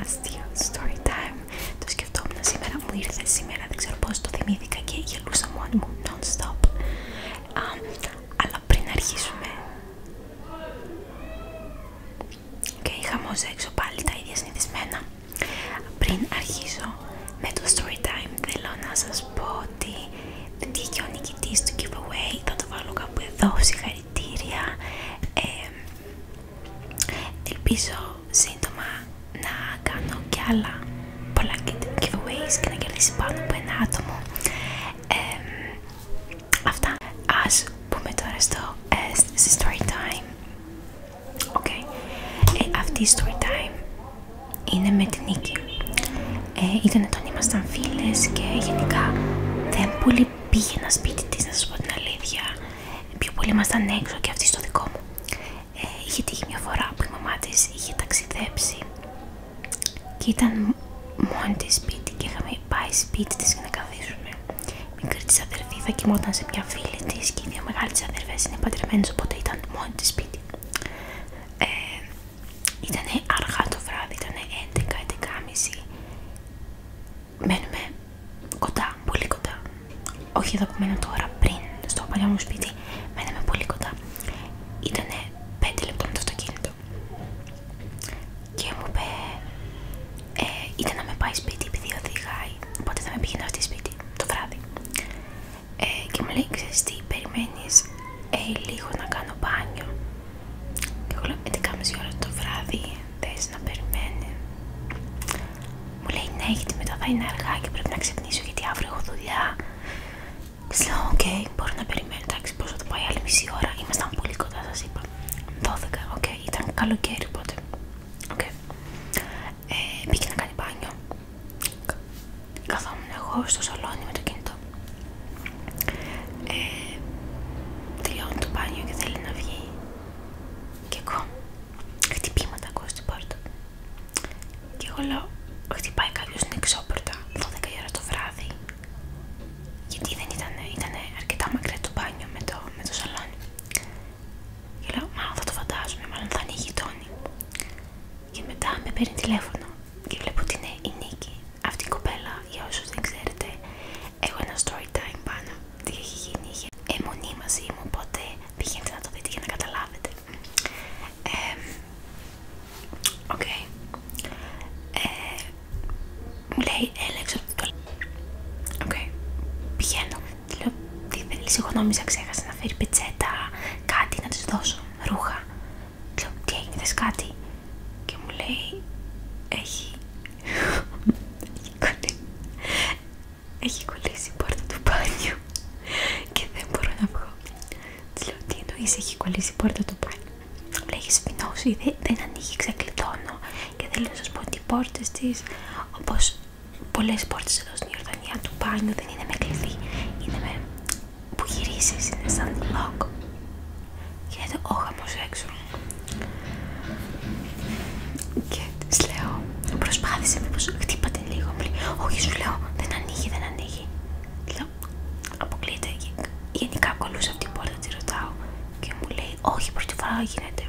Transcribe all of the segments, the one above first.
αστείο story time. Το σκεφτόμουν σήμερα, μου ήρθε σήμερα, δεν ξέρω πώς το θυμήθηκα και γελούσα μόνη μου non-stop. αλλά πριν αρχίσουμε... Και είχαμε είχα μόζα έξω πάλι τα ίδια συνηθισμένα. Πριν αρχίσω με το story time, θέλω να σας πω ότι βγήκε ο νικητής του giveaway, θα το βάλω κάπου εδώ, συγχαρητήρια. Ε, ελπίζω σύντομα να κάνω και άλλα πολλά giveaways και να κερδίσει πάνω από ένα άτομο Αυτά Ας πούμε τώρα στο ε, στη story time ε, Αυτή η story time είναι με την Νίκη ε, Ήταν όταν ήμασταν φίλες και γενικά δεν πολύ πήγαινα σπίτι της να σας πω την αλήθεια πιο πολύ ήμασταν έξω και αυτή στο δικό μου. Ε, είχε τύχει μια φορά που η μαμά τη είχε ταξιδέψει και ήταν μόνη σπίτι και είχαμε πάει σπίτι τη για να καθίσουμε. Μικρή τη αδερφή θα κοιμόταν σε μια φίλη τη και οι δύο μεγάλε αδερφέ είναι παντρεμένε, οπότε ήταν μόνη σπίτι. Ε, ήταν αργά το βράδυ, ήταν 11-11.30 μένουμε κοντά, πολύ κοντά. Όχι εδώ που μένω τώρα, πριν στο παλιό μου σπίτι, μέναμε πολύ κοντά. Ήτανε 5 λεπτά με το αυτοκίνητο. Και μου είπε, ήταν ε, να με πάει σπίτι επειδή οδηγάει. Οπότε θα με πήγαινε αυτή σπίτι το βράδυ. Ε, και μου λέει: Ξέρει τι, περιμένει ε, λίγο να κάνω μπάνιο. Και εγώ λέω: 11.30 «Ε, ώρα το βράδυ θες να περιμένει. Μου λέει ναι γιατί μετά θα είναι αργά και πρέπει να ξυπνήσω γιατί αύριο έχω δουλειά. Της λέω οκ, μπορώ να περιμένω, εντάξει πώς θα το πάει άλλη μισή ώρα, ήμασταν πολύ κοντά σας είπα. 12, οκ, ήταν καλοκαίρι οπότε. Οκ Μπήκε ε, να κάνει μπάνιο. Καθόμουν εγώ στο σολόνι με το κινητό. Ε, τελειώνει το μπάνιο και θέλει να βγει και ακούω χτυπήματα στην πόρτα. Και εγώ λέω, χτυπάει κάποιο στην εξώπορτα 12 η ώρα το βράδυ. Γιατί δεν ήταν, ήτανε αρκετά μακριά το μπάνιο με το, με το σαλόνι. Και λέω, μάλλον θα το φαντάζομαι, μάλλον θα είναι η γειτόνι. Και μετά με παίρνει τηλέφωνο και βλέπω ότι είναι η Νίκη, αυτή η κοπέλα, για όσους δεν ξέρετε, έχω ένα story time πάνω. Τι έχει γίνει, είχε αιμονή μαζί μου, οπότε πηγαίνετε να το δείτε για να καταλάβετε. ΟΚ. Ε, μου λέει, έλα το Οκ, πηγαίνω. Τη λέω, τι θέλει, εγώ νόμιζα ξέχασα να φέρει πετσέτα, κάτι να τη δώσω, ρούχα. Τη λέω, τι έγινε, θες κάτι και μου λέει έχει κολλήσει η πόρτα του μπάνιου και δεν μπορώ να βγω της λέω τι εννοείς έχει κολλήσει η πόρτα του μπάνιου μου λέει έχει σπινώσει δεν, δεν ανοίγει ξεκλειδώνω και θέλω να σας πω ότι οι πόρτες της όπως πολλές πόρτες εδώ στην Ιορδανία του μπάνιου δεν είναι με κλειδί είναι με που γυρίσεις είναι σαν lock όχι, όχαμος έξω. Και τη λέω, προσπάθησε μήπως χτύπατε λίγο απλή. Όχι σου λέω, δεν ανοίγει, δεν ανοίγει. Λέω, αποκλείται. Γενικά κολούσα αυτή την πόρτα, τη ρωτάω. Και μου λέει, όχι, πρώτη φορά γίνεται.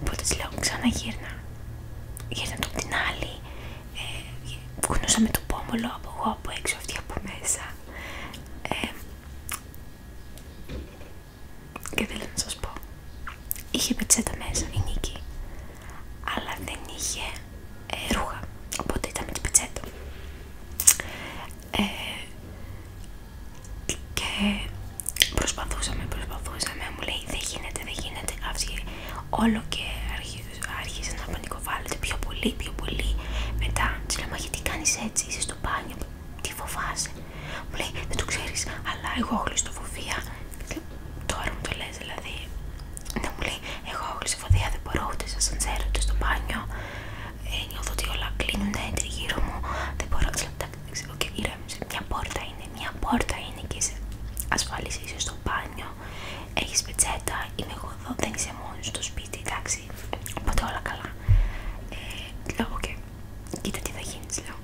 Οπότε τη λέω, ξαναγύρνα. Γύρνα από την άλλη. Ε, με το πόμολο από εγώ από έξω, αυτή από μέσα. Ε, και θέλω να σας πω, είχε πετσέτα μέσα η Νίκη, αλλά δεν είχε ε, ρούχα, οπότε ήταν με πετσέτο. Ε, και προσπαθούσαμε, προσπαθούσαμε, μου λέει δεν γίνεται, δεν γίνεται, άφησε όλο και άρχισε να πανικοβλήσει βάλετε πιο πολύ, πιο πολύ. Μετά τη λέω: Μα γιατί κάνει έτσι, είσαι στο μπάνιο, τι φοβάσαι. Μου λέει: Δεν το ξέρει, αλλά εγώ έχω χλωστοφοβία. Τώρα μου το λε, δηλαδή. Να μου λέει: Εγώ έχω χλωστοφοβία, δεν μπορώ ούτε σα αντσέρω ούτε στο μπάνιο. Ε, νιώθω ότι όλα κλείνουν γύρω μου. Δεν μπορώ να δεν ξέρω και μου Μια πόρτα είναι, μια πόρτα είναι και είσαι ασφαλή, είσαι στο μπάνιο. Έχει πετσέτα, είμαι εγώ εδώ, δεν είσαι μόνο στο σπίτι, εντάξει. Οπότε όλα καλά. Ε, λέω, οκ, κοίτα τι θα γίνει, λέω.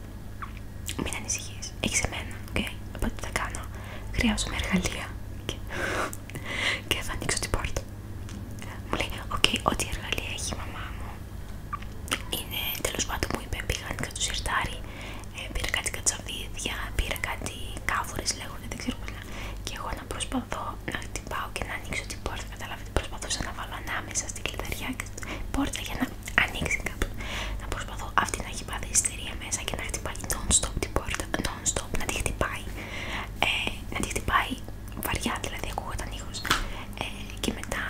Μην ανησυχεί. έχεις εμένα, οκ. Οπότε τι θα κάνω. Χρειάζομαι εργαλεία. Και, θα ανοίξω την πόρτα. Μου λέει, οκ, ό,τι εργαλεία έχει η μαμά μου είναι τέλο πάντων μου είπε: Πήγα κάτι στο σιρτάρι, ε, πήρα κάτι κατσαβίδια, πήρα κάτι κάβουρε λέγονται, δεν ξέρω πώ και εγώ να προσπαθώ να χτυπάω και να ανοίξω την πόρτα. Καταλάβετε, προσπαθούσα να βάλω ανάμεσα στην κλειδαριά και την πόρτα για να ανοίξει κάπου. Να προσπαθώ αυτή να έχει πάθει ιστερία μέσα και να χτυπάει non-stop την πόρτα, non-stop να τη χτυπάει. Ε, να τη χτυπάει βαριά, δηλαδή ακούγονταν ήχος. Ε, και μετά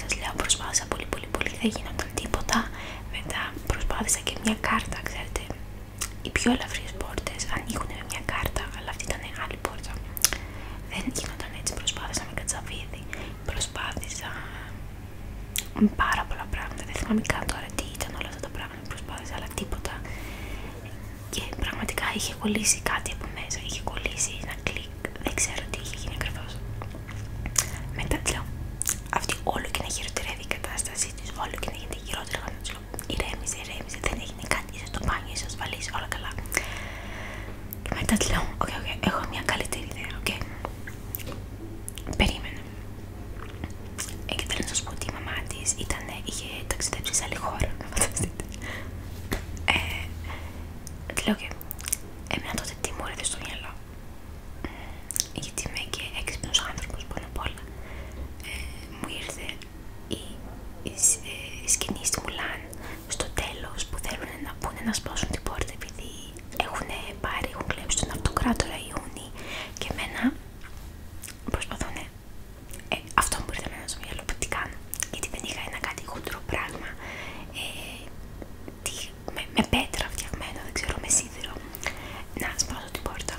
σας λέω προσπάθησα πολύ πολύ πολύ, δεν γινόταν τίποτα. Μετά προσπάθησα και μια κάρτα, ξέρετε, οι πιο ελαφριές πόρτες ανοίγουν με μια κάρτα, αλλά αυτή ήταν άλλη πόρτα. Δεν γίνονταν έτσι, προσπάθησα με κατσαβίδι, προσπάθησα με πάρα πολλά πράγματα. Δεν θυμάμαι καν τώρα τι ήταν όλα αυτά τα πράγματα που προσπάθησα, αλλά τίποτα. Και πραγματικά είχε κολλήσει κάτι από μέσα, είχε κολλήσει ένα κλικ, δεν ξέρω τι είχε γίνει ακριβώ. Μετά λέω, αυτή όλο και να χειροτερεύει η κατάστασή τη, όλο και να γίνεται όταν Ηρέμησε, ηρέμησε, δεν έγινε κάτι. Είσαι στο μπάνιο, είσαι ασφαλή, όλα καλά. Και μετά τη λέω: Οκ, οκ, έχω μια καλύτερη ιδέα. οκ. Περίμενε. και θέλω να σα πω ότι η μαμά τη είχε ταξιδέψει σε άλλη χώρα. Να φανταστείτε. Ε, τη λέω: και Εμένα τότε τι μου έρθει στο μυαλό γιατί είμαι και έξυπνος άνθρωπος πάνω απ' όλα, ε, μου ήρθε ε, η, σκηνή στη Μουλάν στο τέλος που θέλουν να πούνε να σπάσουν την πόρτα επειδή έχουν πάρει, έχουν κλέψει τον αυτοκράτορα Ιούνι και εμένα προσπαθούν, ε, αυτό μου ήρθε εμένα στο μυαλό, τι κάνω, γιατί δεν είχα ένα κάτι χοντρό πράγμα, με, με πέτρα φτιαγμένο, δεν ξέρω, με σίδηρο, να σπάσω την πόρτα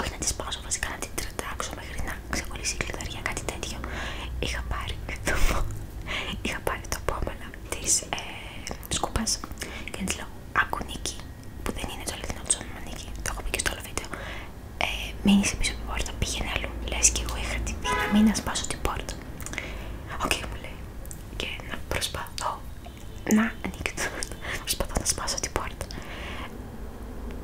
όχι να τη σπάσω βασικά, να την τρετάξω μέχρι να ξεκολλήσει η κλειδαριά, κάτι τέτοιο. Είχα πάρει το, είχα πάρει το πόμενα τη ε, σκούπα και τη λέω: Άκου Νίκη, που δεν είναι το αληθινό του Νίκη, το έχω πει και στο άλλο βίντεο. Ε, μείνεις πίσω από την πόρτα, πήγαινε αλλού. Λε και εγώ είχα την δύναμη να σπάσω την πόρτα. Οκ, μου λέει. Και να προσπαθώ να ανοίξω. Προσπαθώ να σπάσω την πόρτα.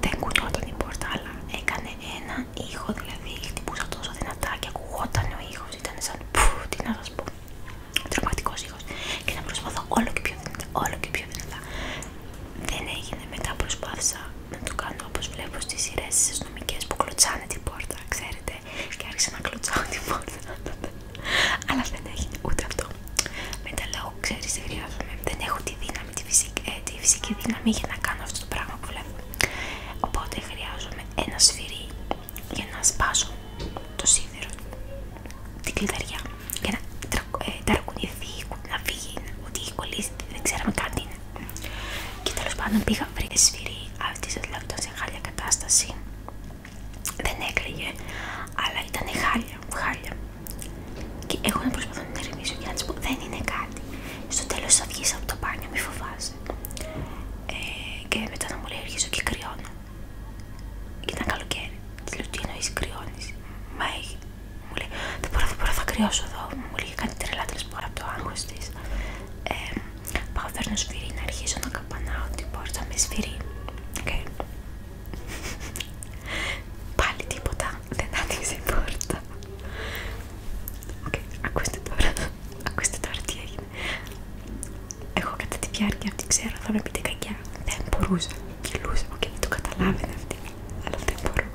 Δεν κουνόταν η πόρτα, αλλά έκανε ένα ήχο, δηλαδή χτυπούσα τόσο δυνατά και ακουγόταν ο ήχο. Ήταν σαν που, τι να σα πω. Τρομακτικό ήχο. Και να προσπαθώ όλο και πιο δυνατά, όλο και πιο δυνατά. Δεν έγινε. Μετά προσπάθησα να το κάνω όπω βλέπω στι σειρέ αστυνομικέ που κλωτσάνε την πόρτα, ξέρετε. Και άρχισα να κλωτσάω την πόρτα αλλά δεν έχει ούτε αυτό. Μετά λέω, ξέρει τι χρειάζομαι. Δεν έχω τη δύναμη, τη φυσική, ε, τη φυσική δύναμη για να κάνω αυτό το πράγμα που βλέπω. Οπότε χρειάζομαι ένα σφυρί για να σπάσω το σίδερο, την κλειδαριά, για να ε, να φύγει, ότι έχει κολλήσει, δεν ξέραμε καν τι είναι. Και τέλο πάντων πήγα, βρήκα σφυρί, αυτή δηλαδή ήταν σε χάλια κατάσταση δεν έκλαιγε, αλλά ήταν χάλια, χάλια. Και εγώ να προσπαθώ να την ερευνήσω και να Δεν είναι κάτι. Στο τέλο θα βγει από το πάνω, μη φοβάσαι. Ε, και μετά να μου λέει: Αρχίζω και κρυώνω. Και ήταν καλοκαίρι. Τη λέω: Τι εννοεί, κρυώνει. Μα έχει. Μου λέει: Δεν μπορώ, δεν μπορώ, θα κρυώσω εδώ. Μου λέει: Κάνει τρελά, τέλο από το άγχο τη. Ε, πάω, να αρχίσω να καμπανά ότι μπορείς με σφυρί. Okay. Πάλι τίποτα, δεν άνοιξε η πόρτα. Okay. Ακούστε τώρα, ακούστε τώρα τι έγινε. Εγώ κατά τη διάρκεια αυτή ξέρω, θα με πείτε κακιά. Δεν μπορούσα, κυλούσα, okay, δεν το καταλάβαινε αυτή. Αλλά δεν μπορώ,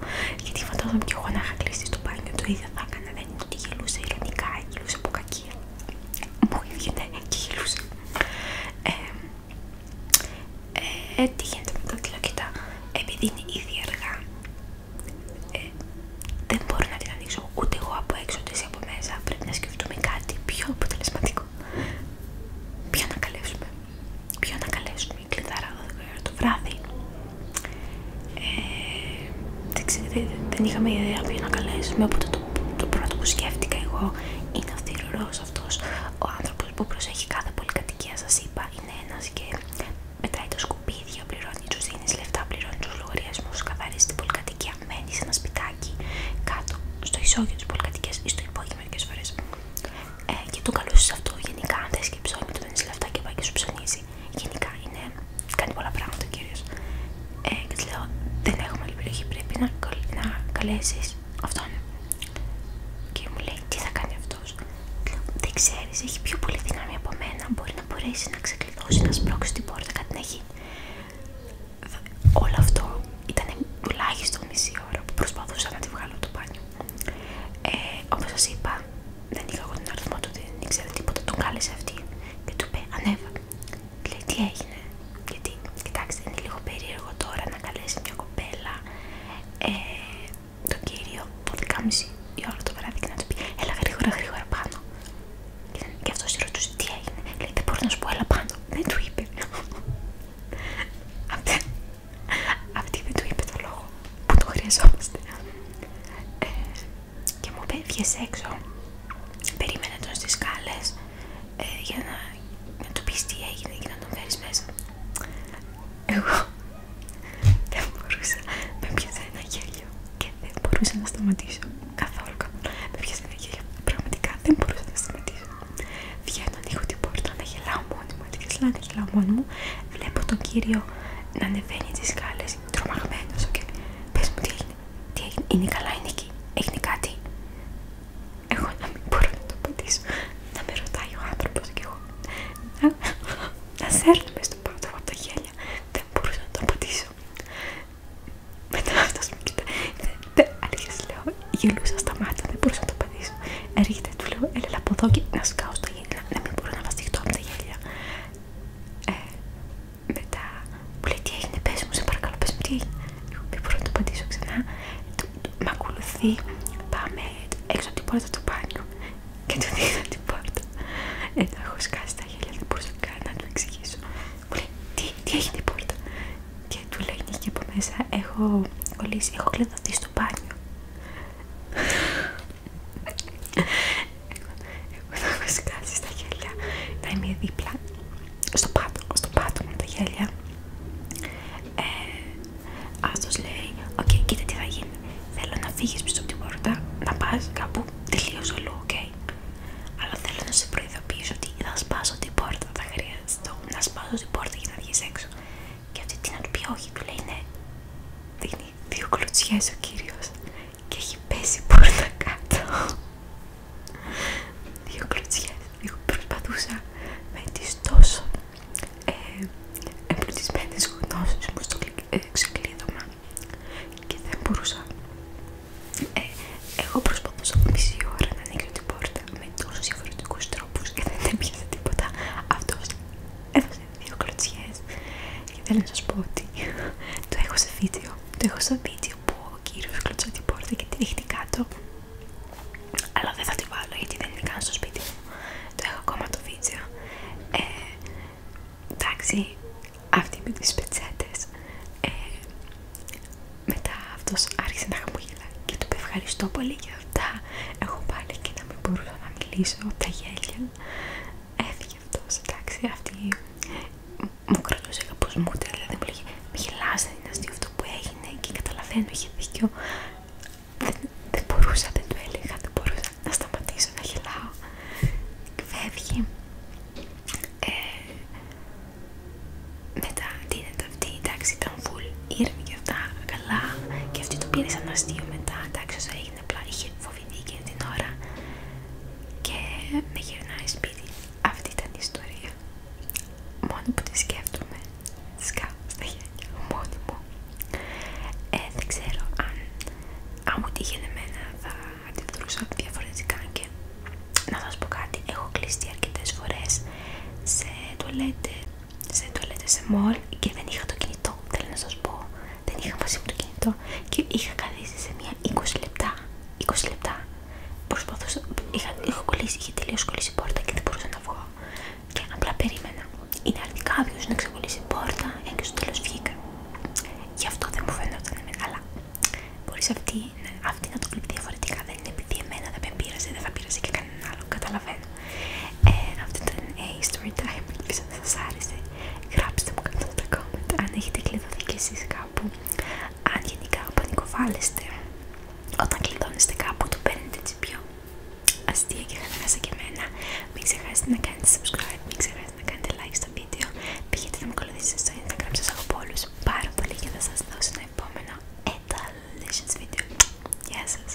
γιατί φαντάζομαι κι εγώ να είχα κλείσει στο μπάνιο, το ίδιο θα έκανα. Δεν είναι ότι γελούσα ειρωνικά, γελούσα από κακία μου βγήκε και γυλούσε. τι γίνεται με τα τηλεοκοιτά, επειδή είναι ήδη αργά, ε, δεν μπορώ να την ανοίξω ούτε εγώ από έξω ούτε εσύ από μέσα. Πρέπει να σκεφτούμε κάτι πιο αποτελεσματικό. Ποιο να καλέσουμε, Πιο να καλέσουμε, κλειδάρα ε, το βράδυ. Ε, δεν, είχαμε ιδέα ποιο να καλέσουμε, οπότε το, πρώτο που σκέφτηκα εγώ είναι ο θηρουρός αυτός, ο άνθρωπο που προσέχει κάθε πολυκατοικία σα είπα, είναι ένα και μετράει το σκουπίδια, πληρώνει του δίνει λεφτά, πληρώνει του λογαριασμού καθαρίζει την πολυκατοικία, μένει σε ένα σπιτάκι κάτω, στο ισόγειο της πολυκατοικίας ή στο υπόγειο μερικές φορές. Ε, και το καλούσε αυτό γενικά, αν θες και ψώνει, του δίνεις λεφτά και πάει και σου ψωνίζει. Γενικά είναι κάνει πολλά πράγματα κυρίως, ε, και τη λέω δεν έχουμε άλλη πρέπει να, καλέσει καλέσεις αυτόν και μου λέει τι θα κάνει αυτός δεν ξέρεις, έχει πιο πολύ δύναμη από μένα μπορεί να μπορέσει να ξεκλειδώσει, να σπρώξει την πόρτα, κάτι να γίνει όλο αυτό ήταν τουλάχιστον μισή ώρα που προσπαθούσα να τη βγάλω από το μπάνιο Όπω ε, όπως είπα δεν είχα εγώ τον αριθμό του, δεν ήξερα τίποτα, τον κάλεσε αυτή και του είπε ανέβα Λέει τι έγινε, γιατί κοιτάξτε είναι λίγο περίεργο τώρα να καλέσει μια κοπέλα ε, το τον κύριο 12.30 η όλο το βράδυ και να του πει έλα γρήγορα γρήγορα πάνω και, αυτό αυτός ρωτούσε τι έγινε, λέει δεν μπορώ να σου πω έλα πάνω, δεν του είπε Αυτή δεν του είπε το λόγο που το χρειαζόμαστε ε, και μου είπε βγες έξω περίμενε τον στις σκάλες ε, για να, του πεις τι έγινε και να τον φέρεις μέσα εγώ δεν μπορούσα με πιάσα ένα γέλιο και δεν μπορούσα να σταματήσω καθόλου με πιάσα ένα γέλιο πραγματικά δεν μπορούσα να σταματήσω βγαίνω ανοίγω την πόρτα να γελάω μόνη μου και να γελάω μόνη μου βλέπω τον κύριο να ανεβαίνει τις σκάλες τρομαγμένος πες μου τι τι είναι καλά, είναι εκεί, έγινε κάτι. Εγώ να μην μπορώ να το απαντήσω. Να με ρωτάει ο άνθρωπο και εγώ. Να, να σέρνουμε στον πάτο από τα γέλια. Δεν μπορούσα να το απαντήσω. Μετά αυτός μου κοιτάει. Αλήθεια λέω, γελούσα στα μάτια, δεν μπορούσα να το απαντήσω. Έρχεται, του λέω, έλα από να σκάω στα Να μπορώ να από τα γέλια. Ε, μετά μου λέει τι έγινε, πες μου, σε παρακαλώ, πες μου τι έγινε. Εγώ να το απαντήσω ξανά. Μ' ακολουθεί, πάμε έξω από την πόρτα του μπάνιου και του δίνω την πόρτα. Ενώ έχω σκάσει τα χέρια, δεν μπορούσα καν να του εξηγήσω. Μου λέει τι, τι έγινε την πόρτα. Και του λέει και από μέσα έχω κολλήσει, έχω κλειδωθεί στο πάνιο. Εγώ θα με σκάσει στα γέλια. Να είμαι δίπλα στο πάτο στο πάτωμα τα γέλια. Ε, λέει: Οκ, κοίτα τι θα γίνει. Θέλω να φύγει πίσω από την πόρτα, να πα κάπου τελείωσε όλο, οκ. Αλλά θέλω να σε προειδοποιήσω ότι θα σπάσω την πόρτα. Θα το να σπάσω την πόρτα για να βγει έξω. Και αυτή τι να του πει, Όχι, του λέει ναι. Δείχνει δύο ο κύριος και έχει πέσει πόρτα κάτω δύο κλωτσιές εγώ προσπαθούσα με τις τόσο ε, εμπλουτισμένες γνώσεις μου στο ε, και δεν μπορούσα ε, εγώ προσπαθούσα μισή ώρα να ανοίξω την πόρτα με τόσους διαφορετικούς τρόπους και δεν έπιασε τίποτα αυτός έδωσε δύο κλωτσιές και θέλω να σας πω ότι το έχω σε βίντεο το έχω σε βίντεο που ο κύριος κλωτσό την πόρτα και τη ρίχνει κάτω αλλά δεν θα τη βάλω γιατί δεν είναι καν στο σπίτι μου το έχω ακόμα το βίντεο ε, εντάξει αυτή με τις πετσέτες ε, μετά αυτός άρχισε να χαμογελά και του είπε ευχαριστώ πολύ για αυτά έχω πάλι και να μην μπορούσα να μιλήσω τα γέλια έφυγε και αυτός, εντάξει, αυτή μου κρατούσε κάπως μούτρα, δηλαδή μου λέγε «Μη γελάς, δεν είναι αστείο αυτό που έγινε» και καταλαβαίνω, είχε δίκιο. Δεν, δεν μπορούσα, δεν του έλεγα, δεν μπορούσα να σταματήσω να γελάω. Φεύγει. Ε, μετά δίνεται αυτή, εντάξει, ήταν full ήρεμη και αυτά, καλά. Και αυτή το πήρε σαν αστείο μετά, εντάξει, όσο έγινε απλά είχε φοβηθεί την ώρα και με γυρνάει σπίτι. Αυτή ήταν η ιστορία. Μόνο που τη σκέφτομαι, τη κάνω στα χέρια μου. Ε, δεν ξέρω αν, αν μου θα εμένα θα αντιδρούσα διαφορετικά και να σας πω κάτι, έχω κλειστεί αρκετές φορές σε τολέτε σε τουαλέτα σε μολ και δεν είχα το κινητό. Θέλω να σα πω, δεν είχα μαζί μου το κινητό και είχα καθίσει σε μία 20 λεπτά. 20 λεπτά. Προσπαθούσα, είχα, είχα κολλήσει, είχε τελείω κολλήσει η πόρτα και δεν μπορούσα να βγω. Και απλά περίμενα. Είναι αρνητικά κάποιο να ξεκολλήσει η πόρτα, και στο τέλο βγήκα. Γι' αυτό δεν μου φαίνεται ότι είναι καλά. Μπορεί αυτή, να το κλείσει διαφορετικά. Δεν είναι επειδή εμένα δεν με πείραζε, δεν θα πείραζε και κανέναν άλλο. Καταλαβαίνω. Ε, αυτό ήταν ε, η story time, ελπίζω να σας άρεσε. Γράψτε μου κάτω στα comment αν έχετε κλειδωθεί κι εσείς κάπου. Αν γενικά πανικοβάλλεστε, όταν κλειδώνεστε κάπου το παίρνετε έτσι πιο αστεία και χαλαρά και εμένα. Μην ξεχάσετε να κάνετε subscribe, μην ξεχάσετε να κάνετε like στο βίντεο. Πήγαινε να με ακολουθήσετε στο Instagram, σας έχω πολλούς πάρα πολύ και θα σας δώσω ένα επόμενο Etalitions βίντεο. Γεια σας!